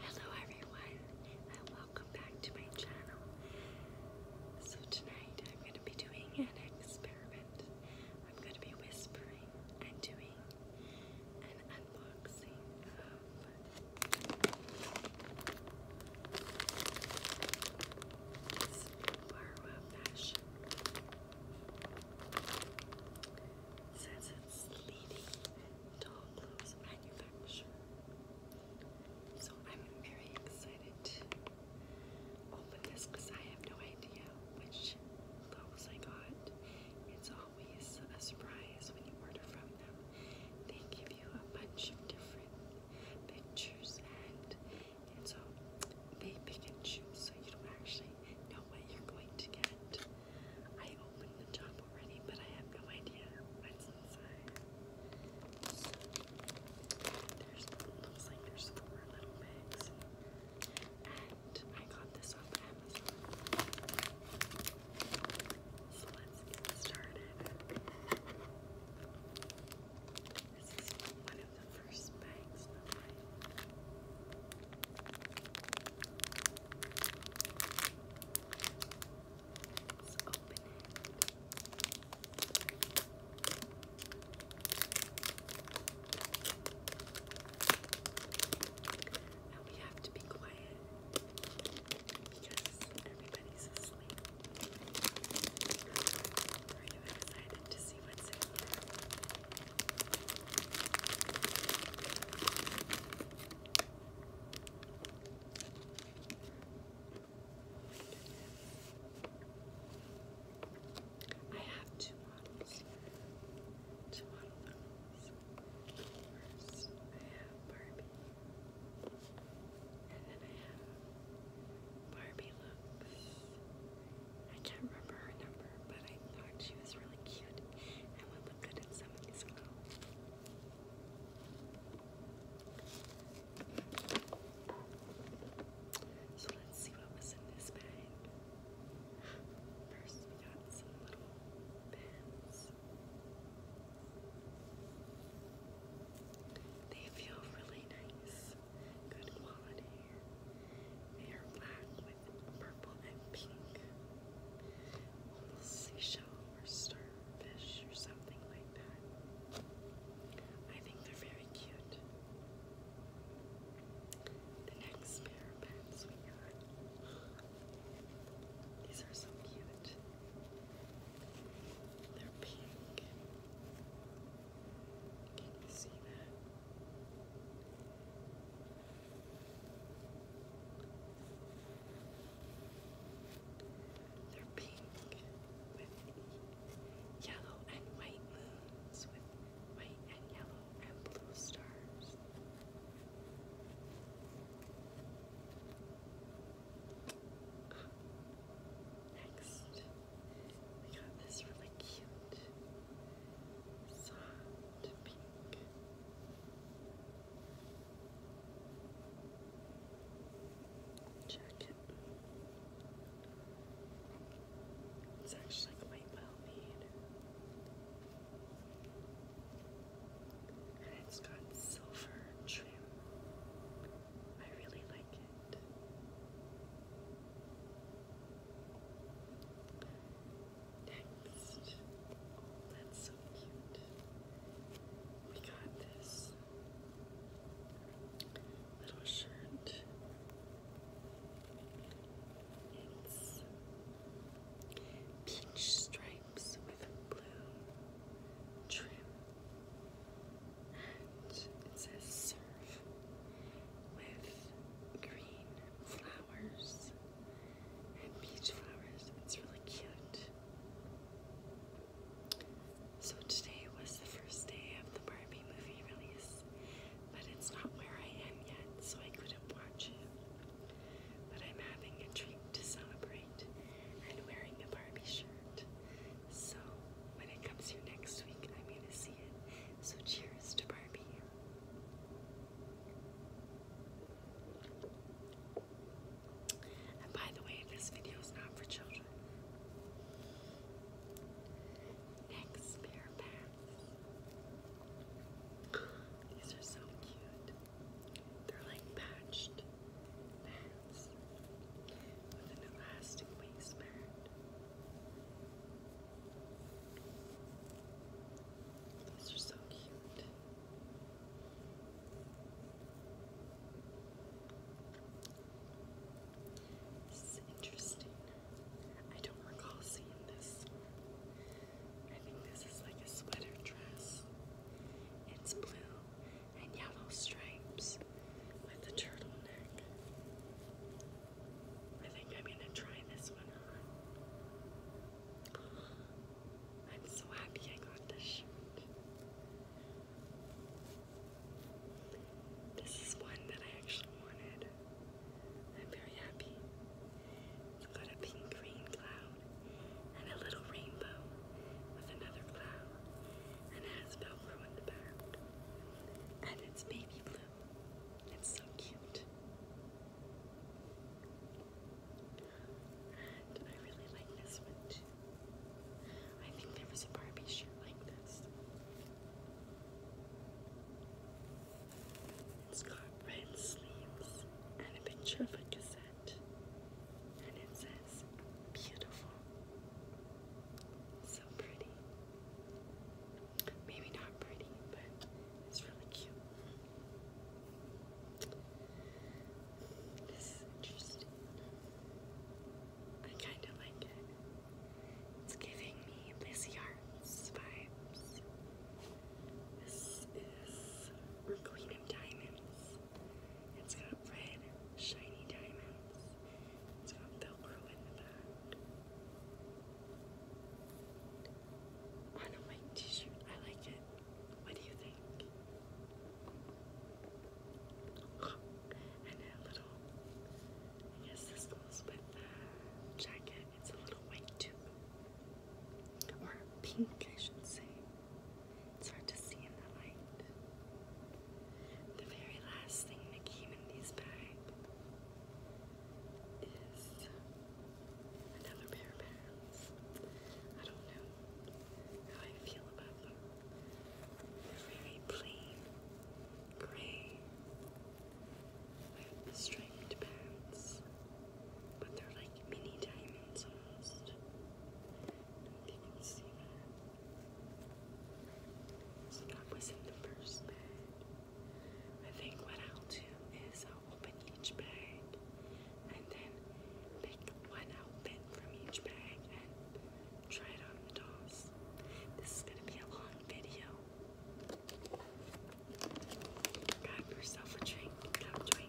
Hello everyone and welcome back to my channel. So tonight I'm going to be doing an experiment. I'm going to be whispering and doing an unboxing says it's leading doll clothes manufacturer. So I'm very excited to open this because I have no idea which clothes I got. It's always a surprise when you order from them. They give you a bunch of different pictures and and so they pick and choose so you don't actually know what you're going to get. I opened the top already, but I have no idea what's inside. there's looks like there's four little bags, and I got this off let's get started. This is one of the first bags Let's And we have to be quiet because everybody's asleep. I'm excited to see what's in here. I have two models. Two models. First, I have Barbie. And then I have Barbie Looks. I can't remember her number, but I thought she was really cute and would look good in some of these clothes. So let's see what was in this bag. First, we got some little pens. They feel really nice, good quality. They are black with purple and pink. Almost seashell or starfish or something like that. I think they're very cute. The next pair of pants These are so cute. They're pink. Can you see that? They're pink with yellow and white moons, with white and yellow and blue stars. Next, we got this really cute soft pink. Check it. It's actually quite well made. And it's got silver trim. I really like it. Next. Oh, that's we got this little shirt. It's peach stripes with blue trim. And it says surf with green flowers and peach flowers. It's really cute. So today was the first day of the Barbie movie release, but it's not where I am yet, so I couldn't watch it. But I'm having a treat to celebrate and wearing a Barbie shirt. So when it comes here next week, I'm going to see it. So cheers to Barbie. And by the way, this video is not for children. Next pair pants. These are so cute. They're like patched pants with an elastic waistband. These are so cute. This is interesting. I don't recall seeing this. I think this is like a sweater dress. It's blue and yellow stripes with a turtleneck. I think I'm gonna try this one on. I'm so happy I got this shirt. This is one that I actually wanted. I'm very happy. It's got a pink rain cloud and a little rainbow with another cloud and it has in the back. And it's baby blue. It's so cute. And I really like this one I think there was a Barbie shirt like this. It's got red sleeves and a picture of a cassette. And it says, beautiful. So pretty. Maybe not pretty, but it's really cute. This is interesting. I kind of like it. It's giving me Lizzie Arts vibes. This is Requiem Diamonds. It's got red, shiny diamonds. It's got Velcro in the back. On a t-shirt. I like it. What do you think? and a little, I guess this goes with the jacket, it's a little white too, or pink I should say, it's hard to see in the light. The very last thing that came in this bag is another pair of I don't know how I feel about them. They're very plain, gray, striped bands, but they're like mini diamonds almost. if you can see that. So that was in the first bag. I think what I'll do is I'll open each bag and then pick one outfit from each bag and try on the dolls. This is gonna be a long video. Grab yourself a drink, cup drink.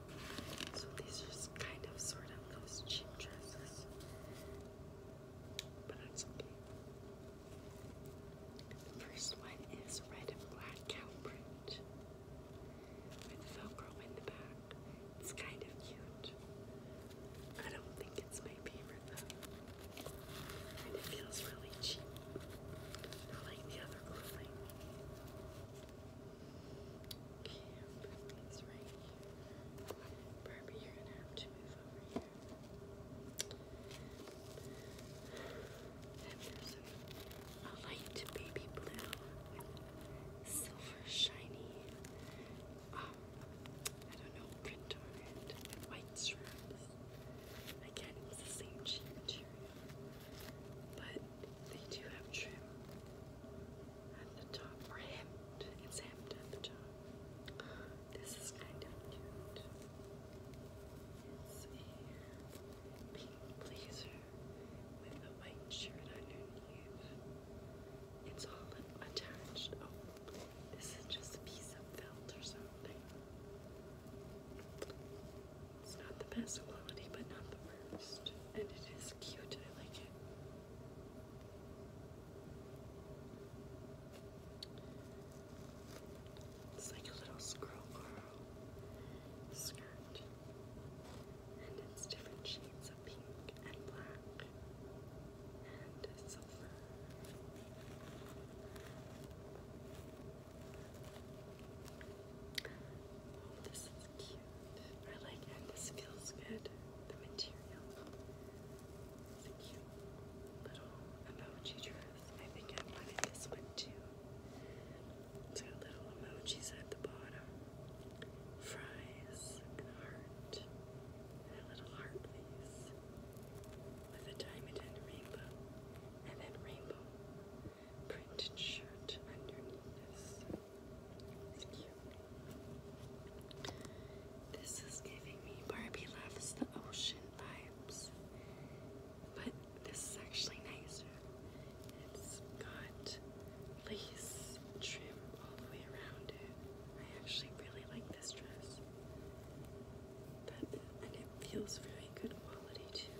So these are just kind of sort of those cheap dresses. But that's okay. The first one is red and black cow print with velcro in the back. It's kind of cute. I don't think it's my favorite And it feels really cheap. Not like the other clothing. Barbie's Barbie, you're gonna have to move over here. And there's a, light baby blue silver shiny, um, I don't know, print on white straps. Again, it the same cheap material, but they do have trim at the top, or It's hemmed at the top. This is kind of cute. It's a pink with a white shirt underneath. It's all attached. Oh, this is just a piece of felt or something. It's not the best quality, but not the worst and it is cute. I like it. It's like a little scroll girl and it's different shades of pink and black and silver. Oh, this is cute cute. I like it. This feels good. The material. It's a cute little emoji dress. I think I wanted this one too. It's got little emojis at the bottom. Fries and a heart. And a little heart lace. With a diamond and a rainbow. And then rainbow printed shirt underneath this. This is giving me Barbie loves the ocean vibes. But this is actually nicer. It's got lace trim all the way around I actually really like this dress. and it feels very good quality too.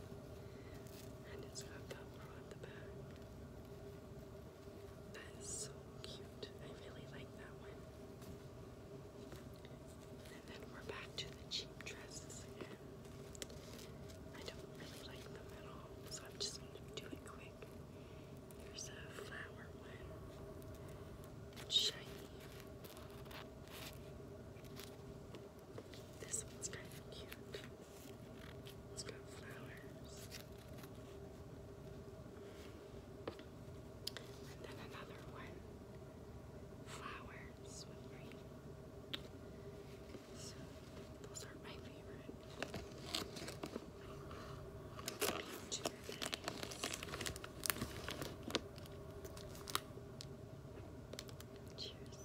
And it's got velcro at the back. That is so cute. I really like that one. And then we're back to the cheap dresses I don't really like them at all, so I'm just going to do it quick. Here's a flower one. shiny. This one's kind of cute. It's got flowers. And then another one. Flowers with those are my favorite. Cheers.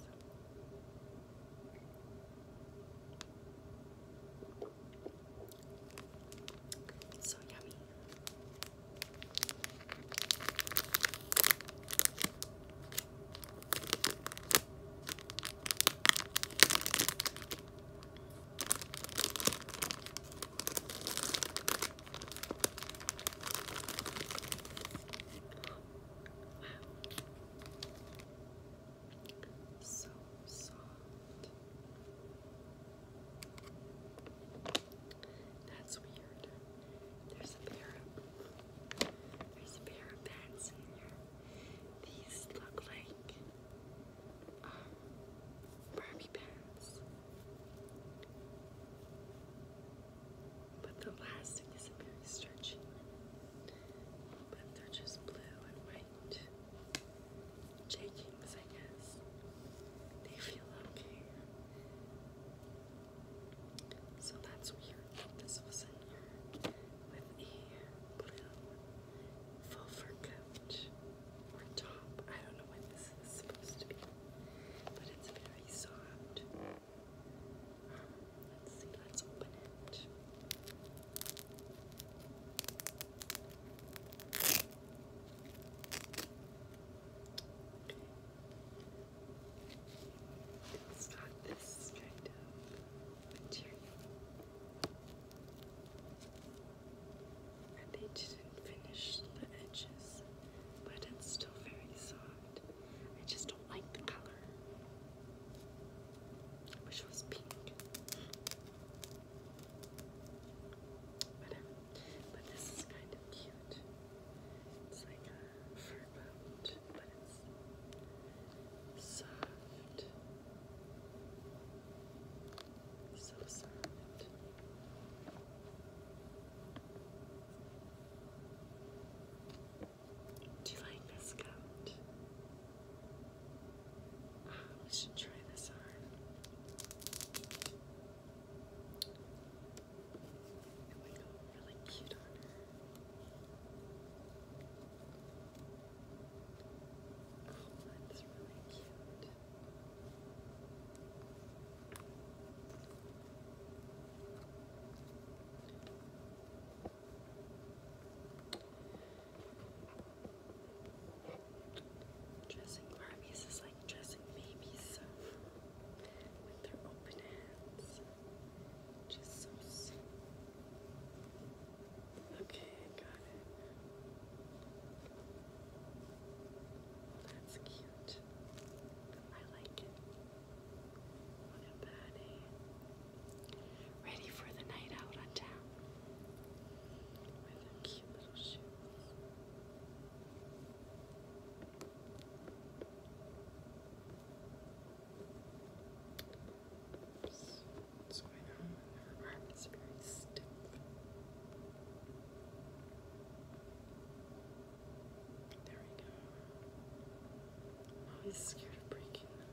So yummy. So soft. That's weird. There's a pair there's a pair of pants in here. These look like um, Barbie pants. But the elastic isn't very stretchy. But they're just blue and white right. Kings, I guess. They feel okay. So that's weird this was in here with a blue fur coat or top. I don't know what this is supposed to be, but it's very soft. Let's see, let's open it. It's got this kind of material. And they didn't finish the edges, but it's still very soft. I just don't like the color wish it was pink. But this is kind of cute. It's like a fur coat, but it's soft. So soft. Do you like this coat? Oh, we should try this on. It would really cute on her. Oh, that's really cute. Dressing Barbies is like dressing babies with their open hands. Just so simple. Okay, got it. That's cute. I like it. What about it? ready for the night out on town with the cute little shoes. What's going on? Her arm is very stiff. There we go. I'm oh, always scared of breaking them.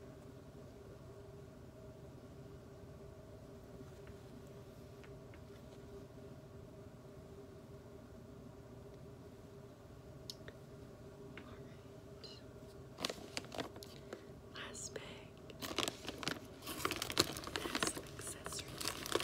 Alright. Last bag. That's some accessories. Okay.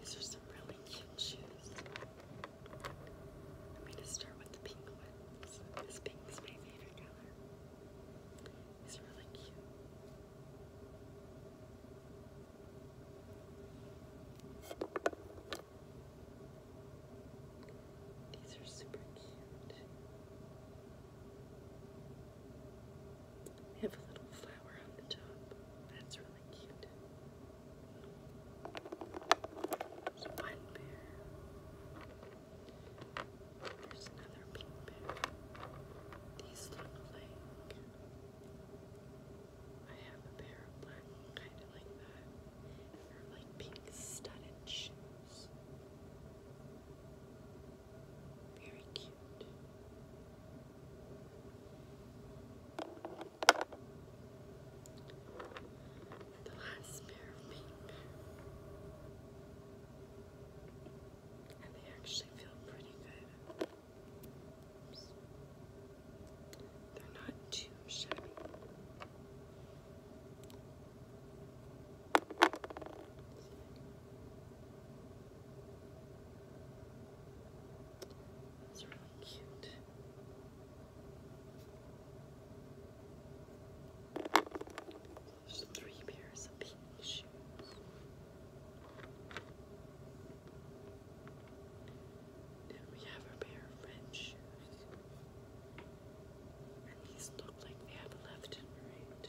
These are some really cute shoes. I'm going to start with the pink This pink is it's really cute. These are super cute. They have a little flower on the top. That's really cute. one pair. There's another pink pair. These look like I have a pair of black, kind of like that. They're like pink studded shoes. Very cute the last pair of paper. And they actually feel pretty good. They're not too shiny. That's really cute. There's three pairs of pink shoes. And we have a pair of red shoes. And these look like they have left and right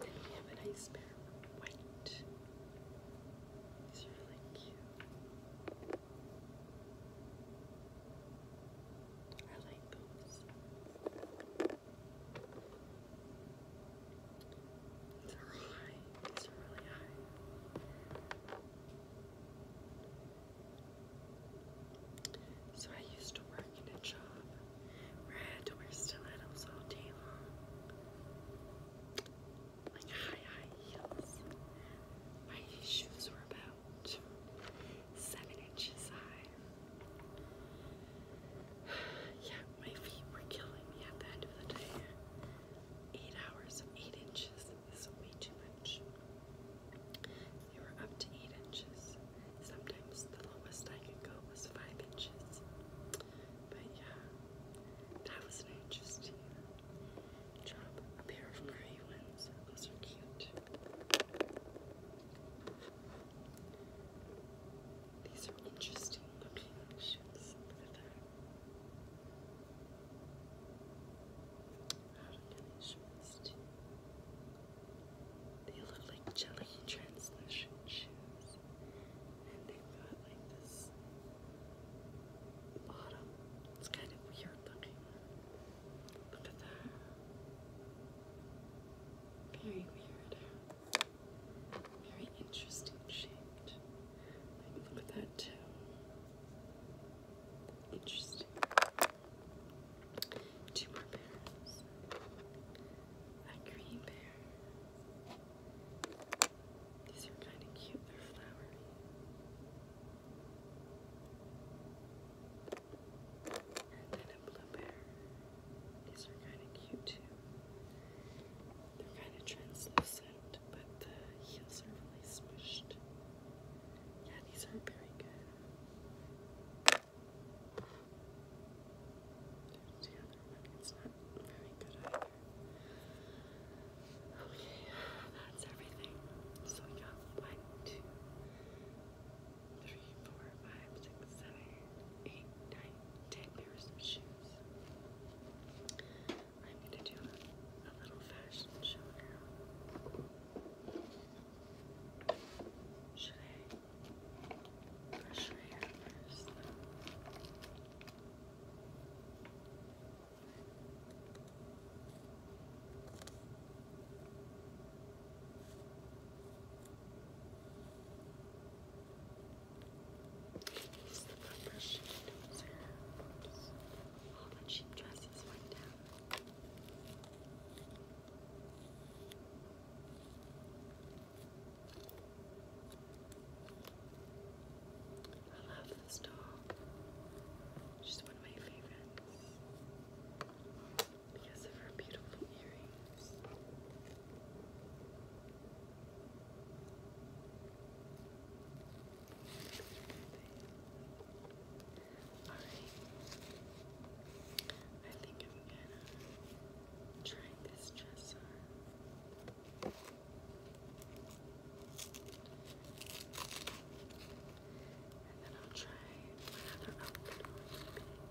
we have a nice pair of white. These are really cute. I like those. These are high. These are really high. So I used to work in a job where I had to wear stilettos all like high, high heels. My shoes were about seven inches high. Yeah, my feet were killing me at the end of the day. Eight hours of eight inches This is way too much. They were up to eight inches. Sometimes the lowest I could go was five inches. But yeah, that was an interesting job. pair of gray ones. Those are cute. These are interesting looking ships. do these shoes do? They look like jelly translucent shoes and they've got like this bottom. It's kind of weird looking. Look at that. Very weird. Very interesting shaped. look at that too. Interesting. Two more bears. A green bear. These are kind of cute, they're flowery. And then a blue bear. These are kind of cute too. They're kind of translucent, but the heels are really smooshed. Yeah, these are very good. There's the other It's not very good Okay, that's everything. So we got one, two, three, four, five, six, seven, eight, nine, ten pairs of shoes. I'm gonna do a, little fashion show now. Should I brush your first? He's the proper sheep dozer. All the cheap dresses went down. He I love this dog. She's one of my favorites because of her beautiful earrings. Alright. I think I'm gonna try this dress on. And then I'll try my other outfit on eBay. Let's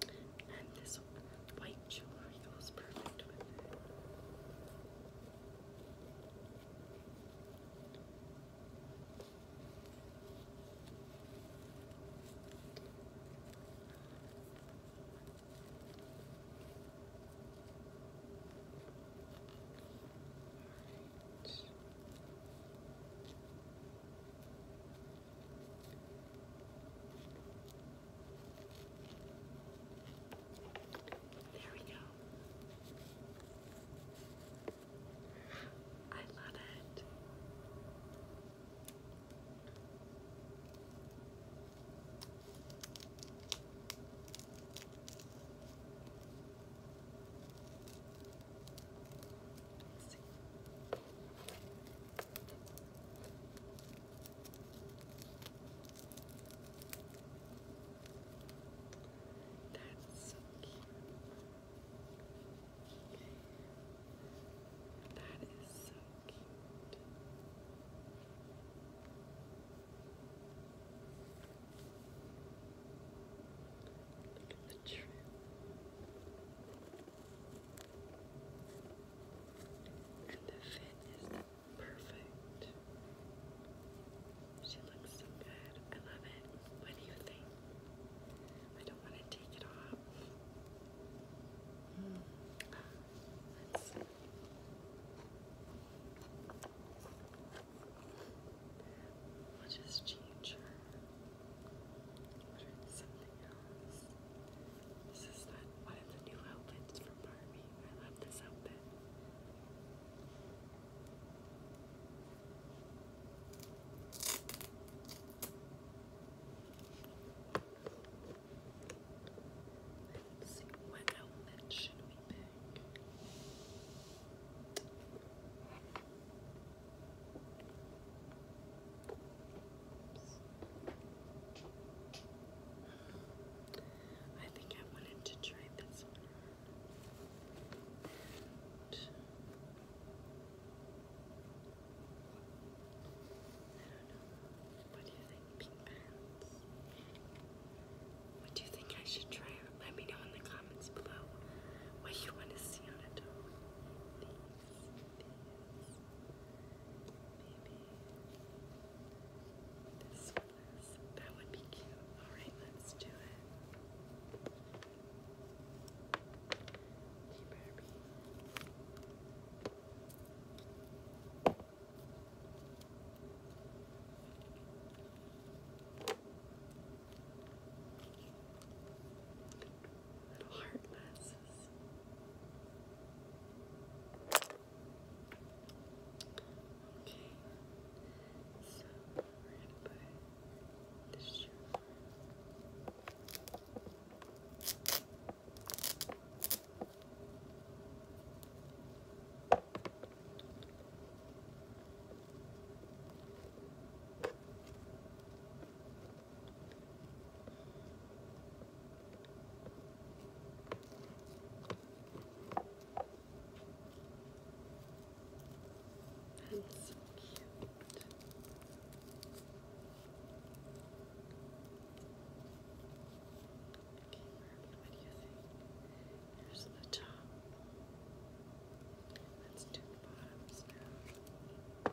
and this white jewelry goes perfect with it. There we go. I love it. Let's That's so cute. That is so cute. Look at the trim. And the fit is perfect. She looks so good. I love it. What do you think? I don't want to take it off. Hmm. Let's see. We'll just change her. This is not one of the new outfits from Barbie. I love this outfit. see, what outfit should we pick? I think I wanted to try this one I don't know. What do you think, What do you think I should try out? Let me know in the comments below what you want to see on a Maybe that would be cute. Alright, let's do it. You little heart Okay, so we're gonna put this and so cute. Okay, Ruby, what do you think? Here's the top. Let's do the bottoms now.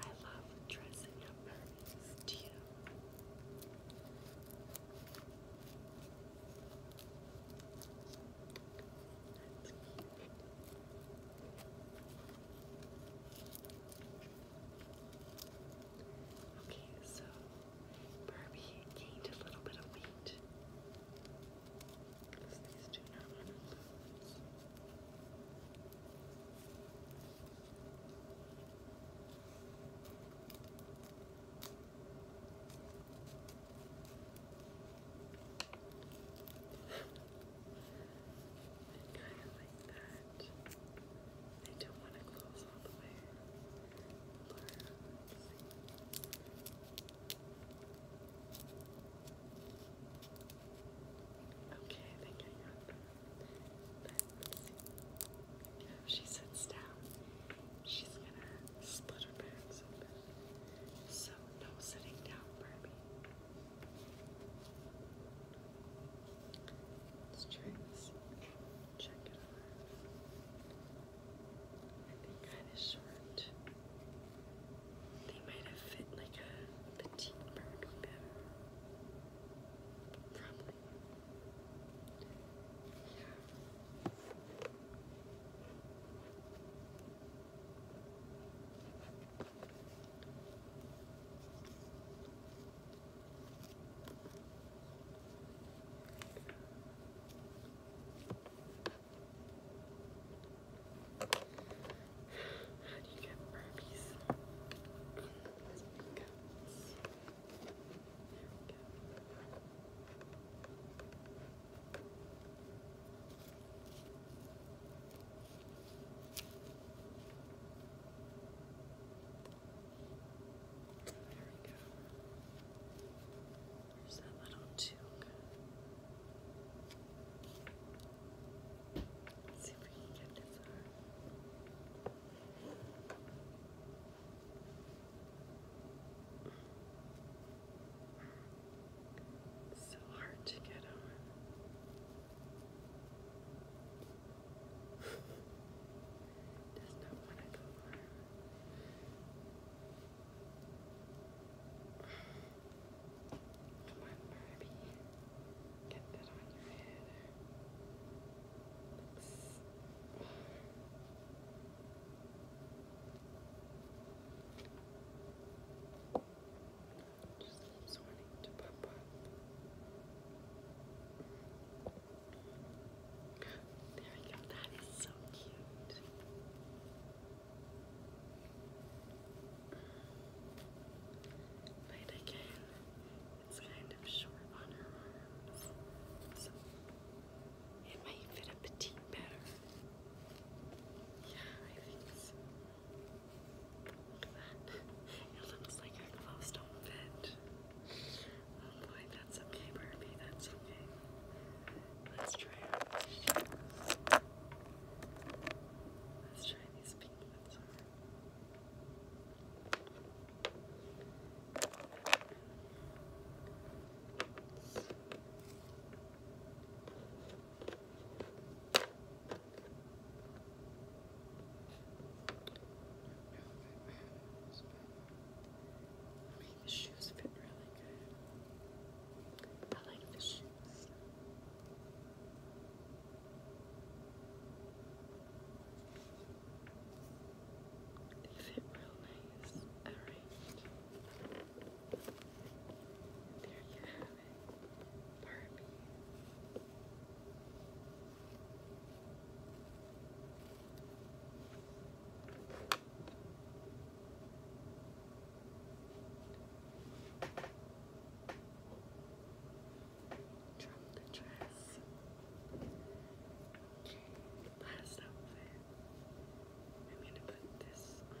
I love dressing up Hermes too. That's Okay, so Barbie gained a little bit of weight because these kind of like that. I don't want to close all the way. Okay, I think I got that. she sits down, she's gonna split her pants open. So, no sitting down, Barbie. Let's try this. Check it out. I think kind of short. They might have fit like a petite bird better. Probably. Yeah. Okay. How do you get burpees? There we go. There we go. There's that little toque. Let's see if we can get this so hard to get on. Does not want to go on. Come on, Barbie. Get that on your head. Just keeps wanting to pop up. There we go. That is so cute. But again, it's kind of short on her so it might fit a petite better. Yeah, I think Look at that. It looks like her clothes don't fit. Oh boy, that's okay, Barbie, that's okay. Let's try her. Let's try these piglets the shoes fit really good. I like the shoes. There you have it. Barbie. From the dress. Okay, last outfit. I'm gonna put this on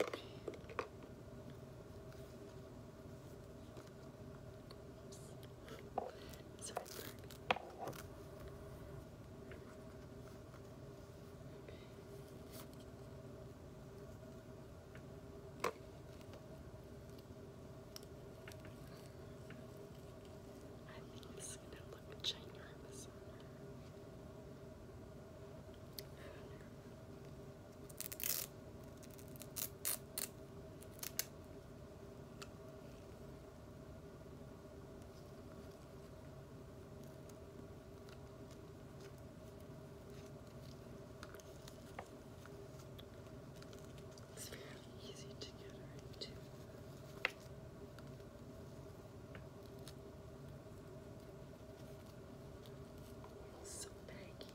Okay. Oops. Sorry, I think this is going to look ginormous it's fairly easy to get into. So baggy.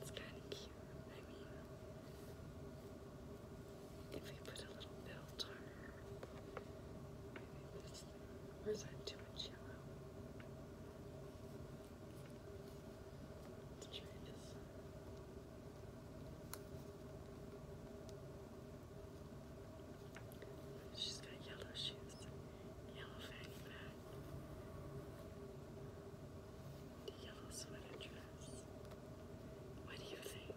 it's kind of cute. I mean, if we put a little filter, maybe this thing. that too much yellow? Let's try this. She's got yellow shoes, yellow fanny yellow sweater dress. What do you think?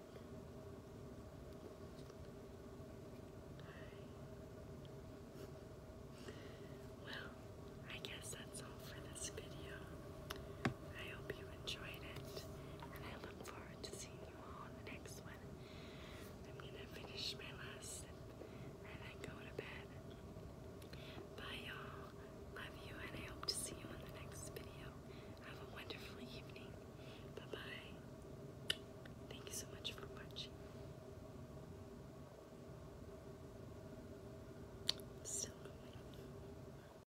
Well, I guess that's all for this video. I hope you enjoyed it, and I look forward to seeing you all in the next one. I'm gonna finish my last and then go to bed. Bye, y'all. Love you, and I hope to see you in the next video. Have a wonderful evening. Bye bye. Thank you so much for watching. Still